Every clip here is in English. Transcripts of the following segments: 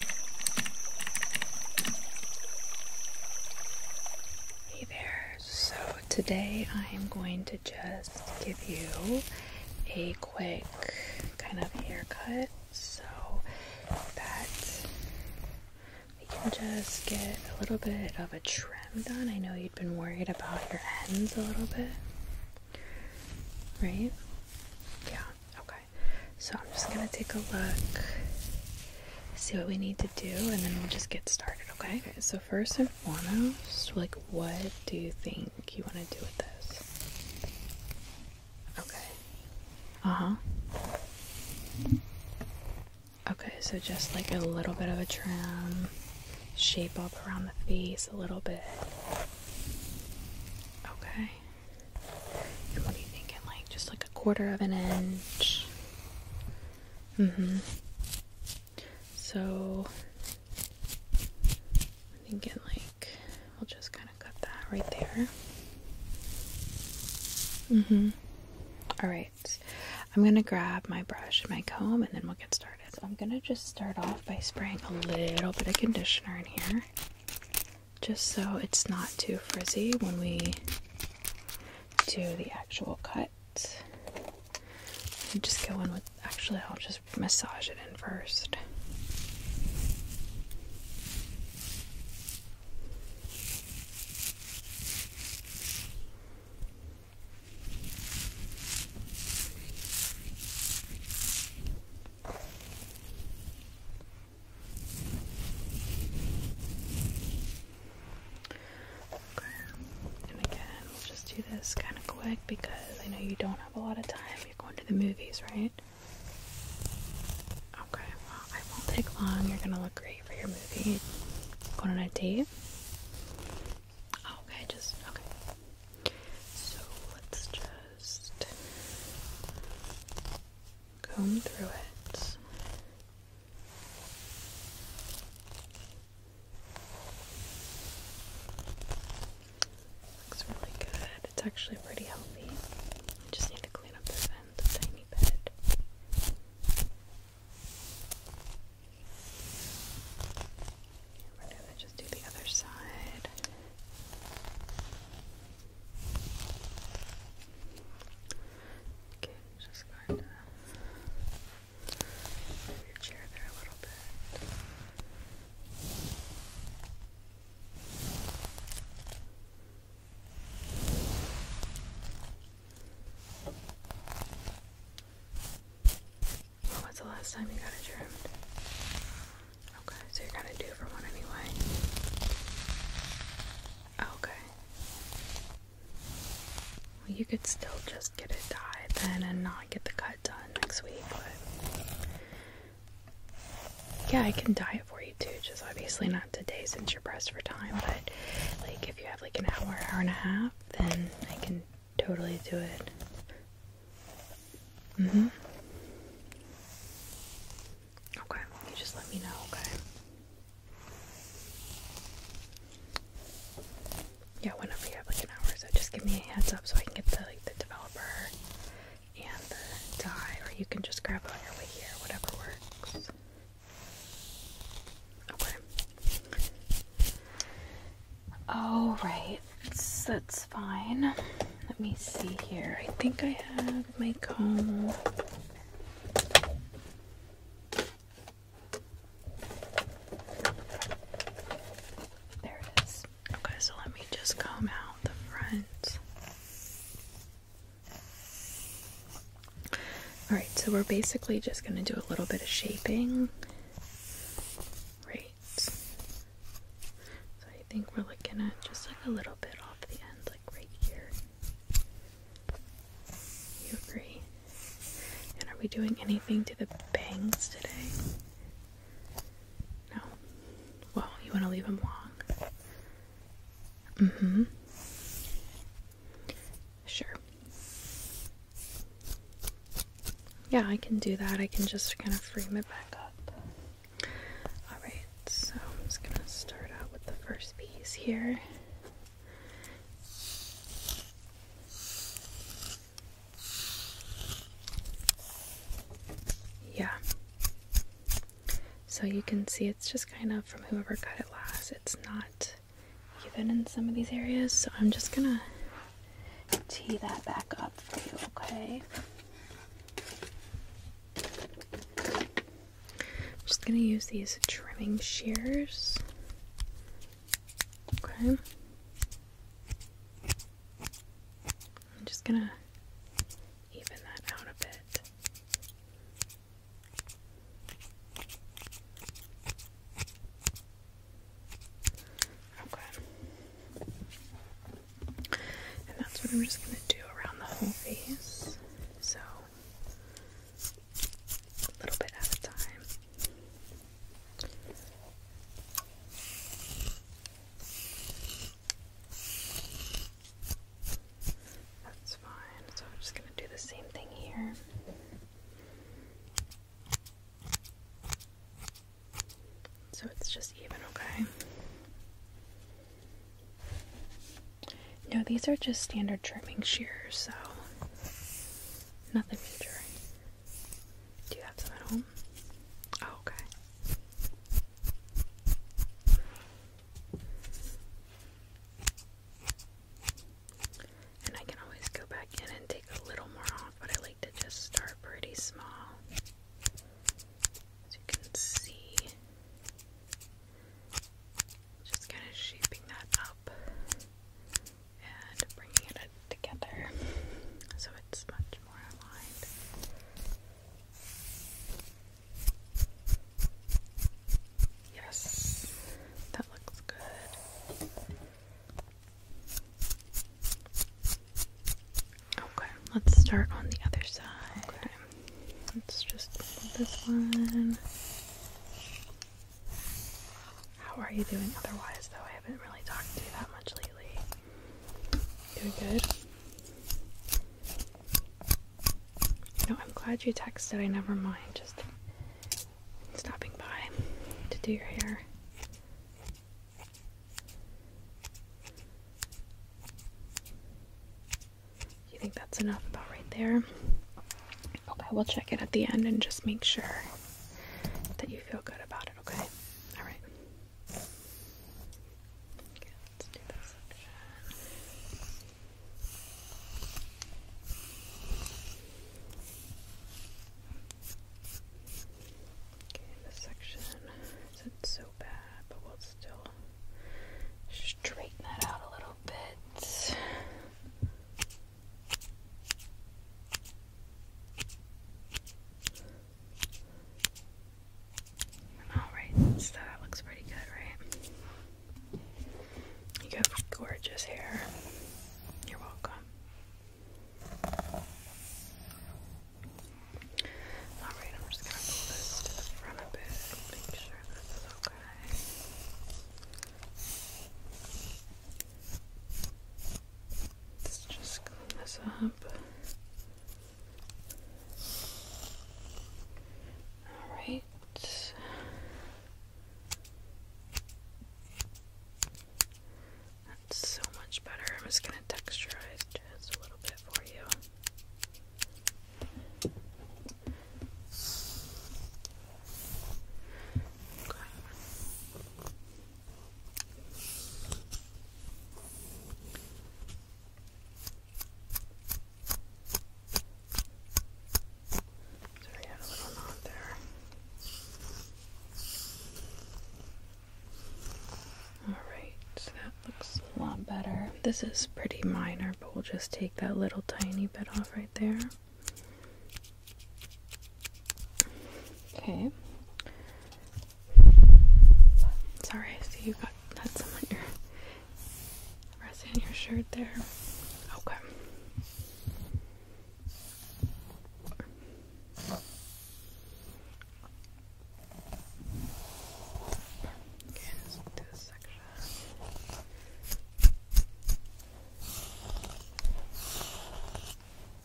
Hey there, so today I'm going to just give you a quick kind of haircut so that we can just get a little bit of a trim done. I know you'd been worried about your ends a little bit, right? Yeah, okay so I'm just gonna take a look, see what we need to do, and then we'll just get started, okay? Okay, so first and foremost, like, what do you think you wanna do with this? Okay, uh huh. Okay, so just like a little bit of a trim, shape up around the face a little bit. Okay. What are you thinking? Like just like a quarter of an inch. Mm-hmm. So I'm thinking like we'll just kind of cut that right there. Mm-hmm. Alright. I'm gonna grab my brush and my comb and then we'll get started. So I'm gonna just start off by spraying a little bit of conditioner in here just so it's not too frizzy when we do the actual cut. And just go in with, actually, I'll just massage it in first. Okay. And again, we'll just do this kind of quick because I know you don't have a lot of time. You're going to the movies, right? Okay, well, I won't take long. You're gonna look great for your movie. Going on a date? Oh, okay, just okay. So let's just comb through it. Looks really good. It's actually pretty healthy. just need to clean up this end tiny bit. We're gonna just do the other side. Okay, just going to move your chair there a little bit. When's the last time you got it trimmed? Okay, so you're gonna do for one anyway. Okay. Well, you could still just get it dyed then and not get the cut done next week, but yeah, I can dye it for you too. Just obviously not today since you're pressed for time, but like if you have like an hour, hour and a half, then I can totally do it. Mm hmm. Okay, just let me know, okay? Yeah, whenever you have like an hour, so just give me a heads up so I can get the like the developer and the die, or you can just grab it on here, whatever works. Okay. All oh, right, that's, that's fine. Let me see here. I think I have my comb. There it is. Okay, so let me just comb out the front. Alright, so we're basically just going to do a little bit of shaping Right. So I think we're looking at just like a little bit off the end, like right here. You agree? And are we doing anything to the bangs today? No. Well, you want to leave them long. Mm hmm. Sure. Yeah, I can do that. I can just kind of frame it back up. Alright, so I'm just going to start out with the first piece here. Yeah. So you can see it's just kind of from whoever cut it last. It's not even in some of these areas. So I'm just gonna tee that back up for you, okay? I'm just gonna use these trimming shears. Okay. I'm just gonna even that out a bit. Okay. And that's what I'm just going to do around the whole face. So, a little bit at a time. That's fine. So I'm just going to do the same thing here. So it's just even, okay? No, these are just standard trimming shears, so nothing major. Do you have some at home? Oh, okay. And I can always go back in and take a little more off, but I like to just start pretty small. As you can see, just kind of shaping that up and bringing it together so it's much more aligned. Yes, that looks good. Okay, let's start on the other side. Okay. Let's just this one. How are you doing otherwise, though? I haven't really talked to you that much lately. Doing good? You I'm glad you texted. I never mind. Just stopping by to do your hair. You think that's enough about right there? Okay, we'll check it at the end and just make sure that you feel good about it, okay? Alright. Okay, Okay, this section isn't so bad, but we'll still straighten that out a little bit. Alright, so that looks pretty good, right? You got gorgeous hair. You're welcome. Alright, I'm just gonna pull this to a bit make sure this okay. Let's just clean this up. All right. That's so much better. I'm just going to texturize just a little bit for you. So had a little knot there. Alright, so that looks a lot better. This is pretty minor, but we'll just take that little tiny bit off right there. Okay. Sorry, I see you got that's on your resin on your shirt there. Okay.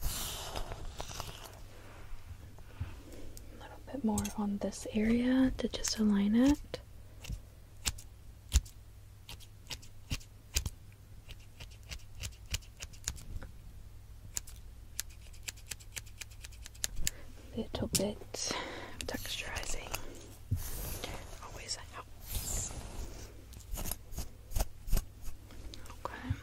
A little bit more on this area to just align it. Little bit of texturizing always helps. Okay.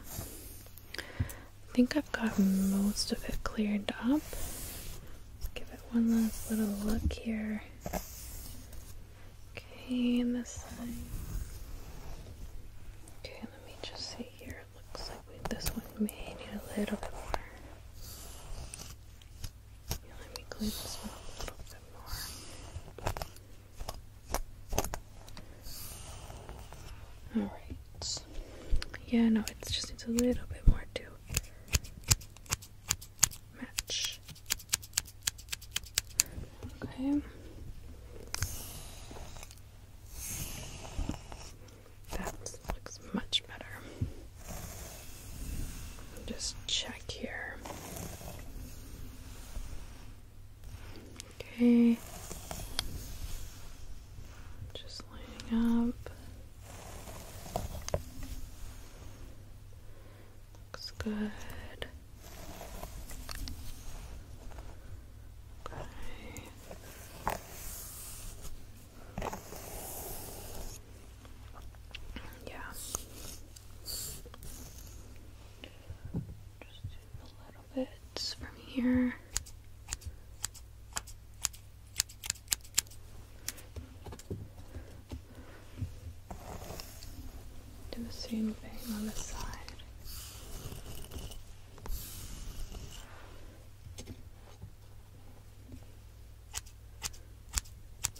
I think I've got most of it cleared up. Let's give it one last little look here. Okay, and this side. Okay, let me just see here. It looks like we, this one may need a little bit more. let me clean this one a little bit more. Alright. Yeah, no, it just needs a little bit more to match. Okay. That looks much better. Just check here. Okay. Just lining up. Looks good. Okay. Yeah. Just do the little from here. Do the same thing on this side.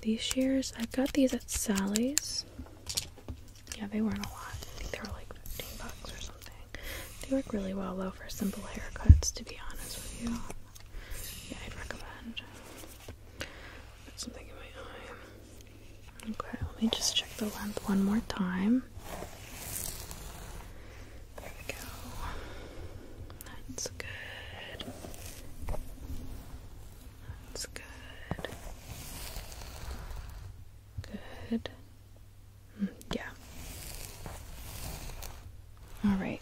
These shears, I got these at Sally's. Yeah, they weren't a lot. I think they were like 15 bucks or something. They work really well though for simple haircuts, to be honest with you. I'd recommend. Got something in my eye. Okay, let me just check the length one more time. There we go. That's good. That's good. Good. Mm, yeah. Alright.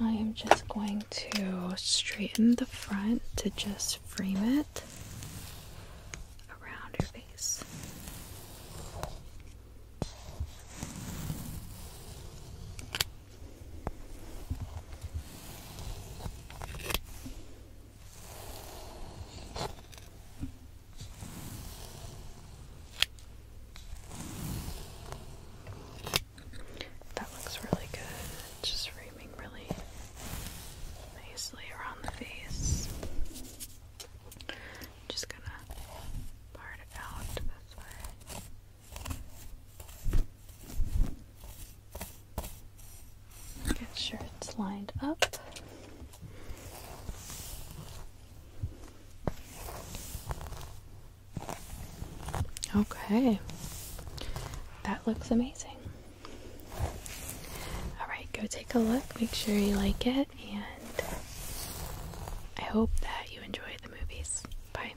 I am just going to straighten the front to just frame it around your face. That looks really good. Just framing really nicely around the face. Just gonna part it out this way. Get sure it's lined up. Okay, that looks amazing. Alright, go take a look, make sure you like it, and I hope that you enjoy the movies. Bye.